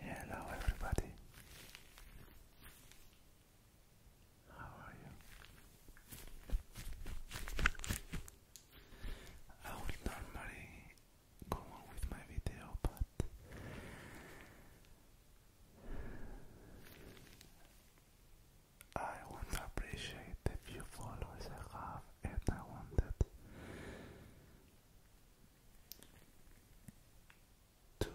Hello, everybody. How are you? I would normally go on with my video, but I want to appreciate the few followers I have, and wanted to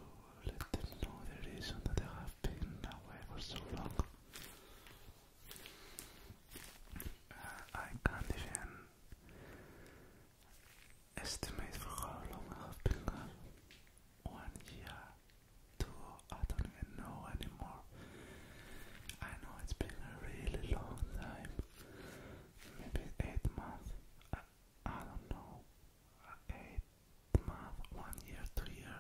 let them know the reason that I have been away for so long. Uh, I can't even estimate for how long I have been gone. One year, two, I don't even know anymore. I know it's been a really long time maybe eight months. I, don't know. Uh, eight months, one year, two year.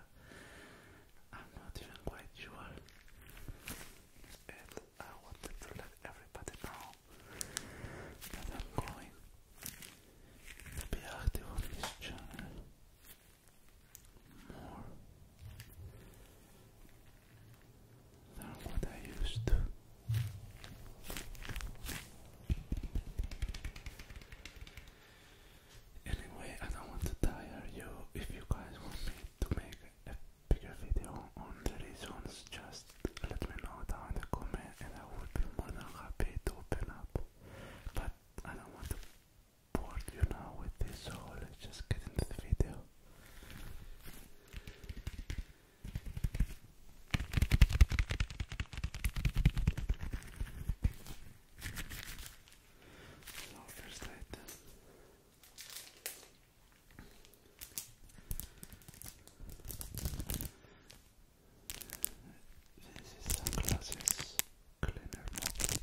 I'm not even quite sure. And I wanted to let everybody know that I'm going to be active on this channel more than what I used to. Anyway, I don't want to tire you. If you guys want me to make a bigger video on the reasons, just let me know down in the comment and I would be more than happy to open up. But I don't want to bored you now with this, so let's just get into the video. So first this is sunglasses cleaner mop or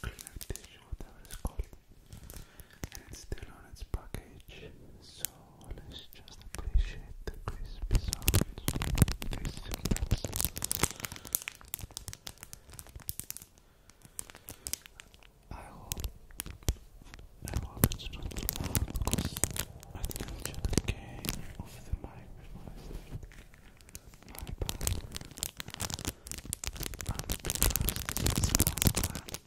cleaner tissue, whatever it's called and it's still on its package, so let's just appreciate the crispy sounds, crispy I hope, I hope it's not loud the mic before I started. My bad. I'm a bit lost since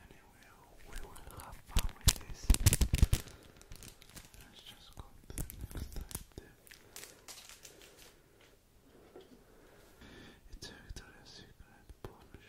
Anyway, we will have this. Let's just go to the next item. It's a Victoria's Secret Pollution.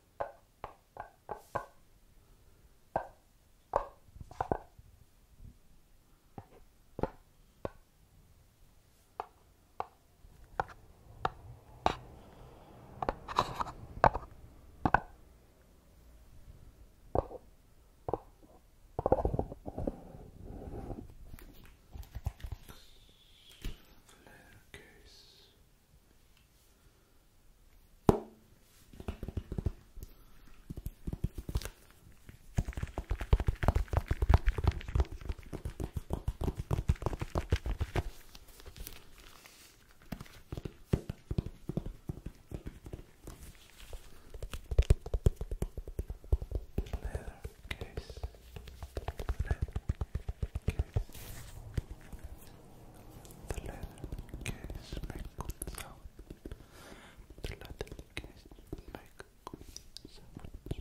Case Leather case. Leather case. The leather case make good sound. The leather case make good sound.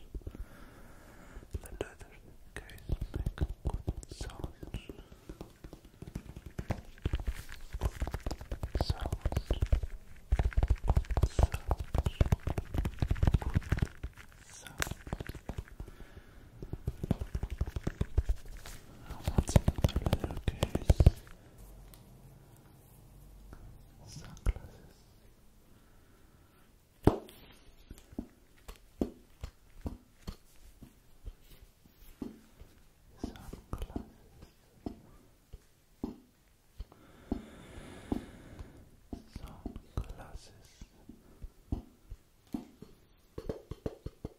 The leather case make good sound. Sounds. Sounds. Sounds. And what's in the little case? Sunglasses. Sunglasses. Sunglasses. Sunglasses.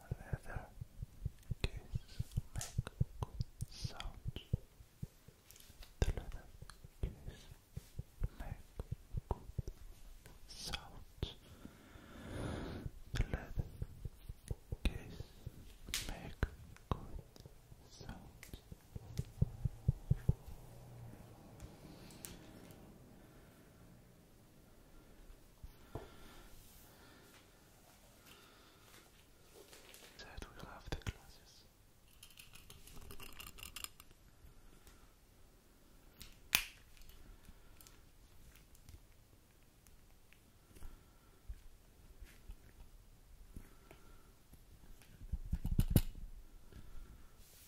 leather case make good sounds. The leather case make good sounds. The leather case make good sounds. That will have the classes.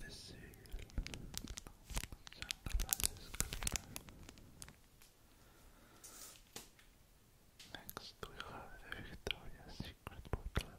The seal Next we have Victoria's Secret bottle.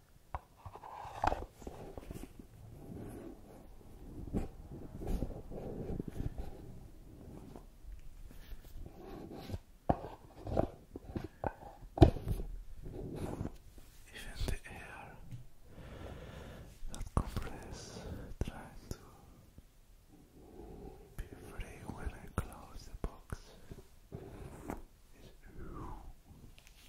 Even the air that compresses trying to be free when I close the box. It's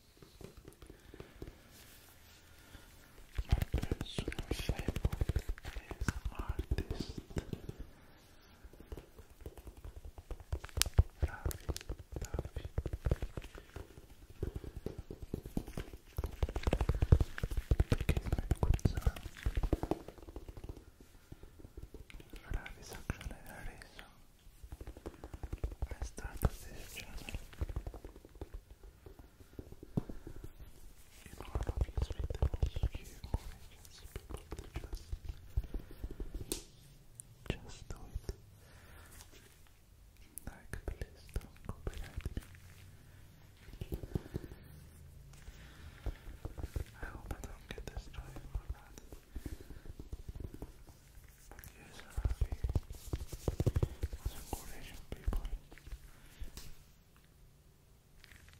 My personal favorite is artist Ravi, Ravi. Ravi is actually a reason I started this channel in one of his videos he just just do it like please don't copyright me I hope I don't get destroyed for that. Yes, Arabic. Some Croatian people.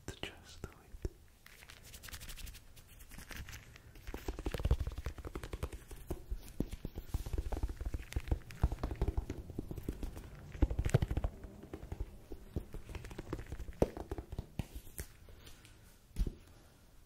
To just do it.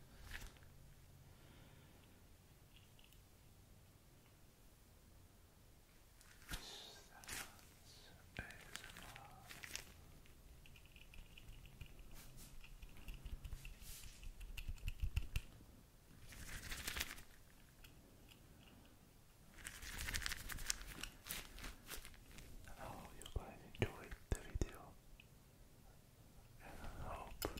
I oh, you guys enjoyed the video and hope in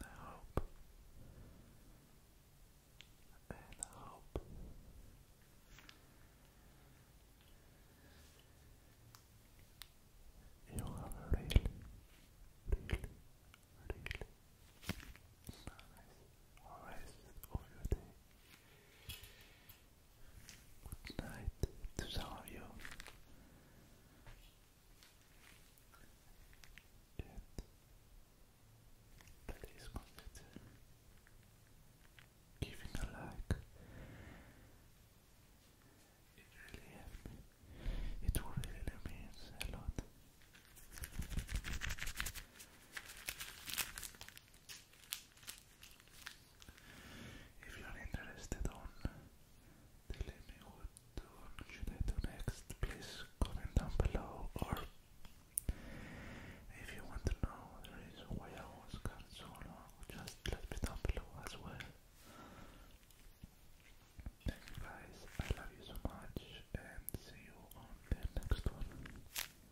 hope in hope you have a really, really, really nice rest of your day. Good night to some of you. And please consider giving a like. It really helps me. really means a lot. If you are interested on telling me what do, do next, please comment down below or if you want to know the reason why I was gone so long, just let me down below as well. Thank you guys, I love you so much and see you on the next one.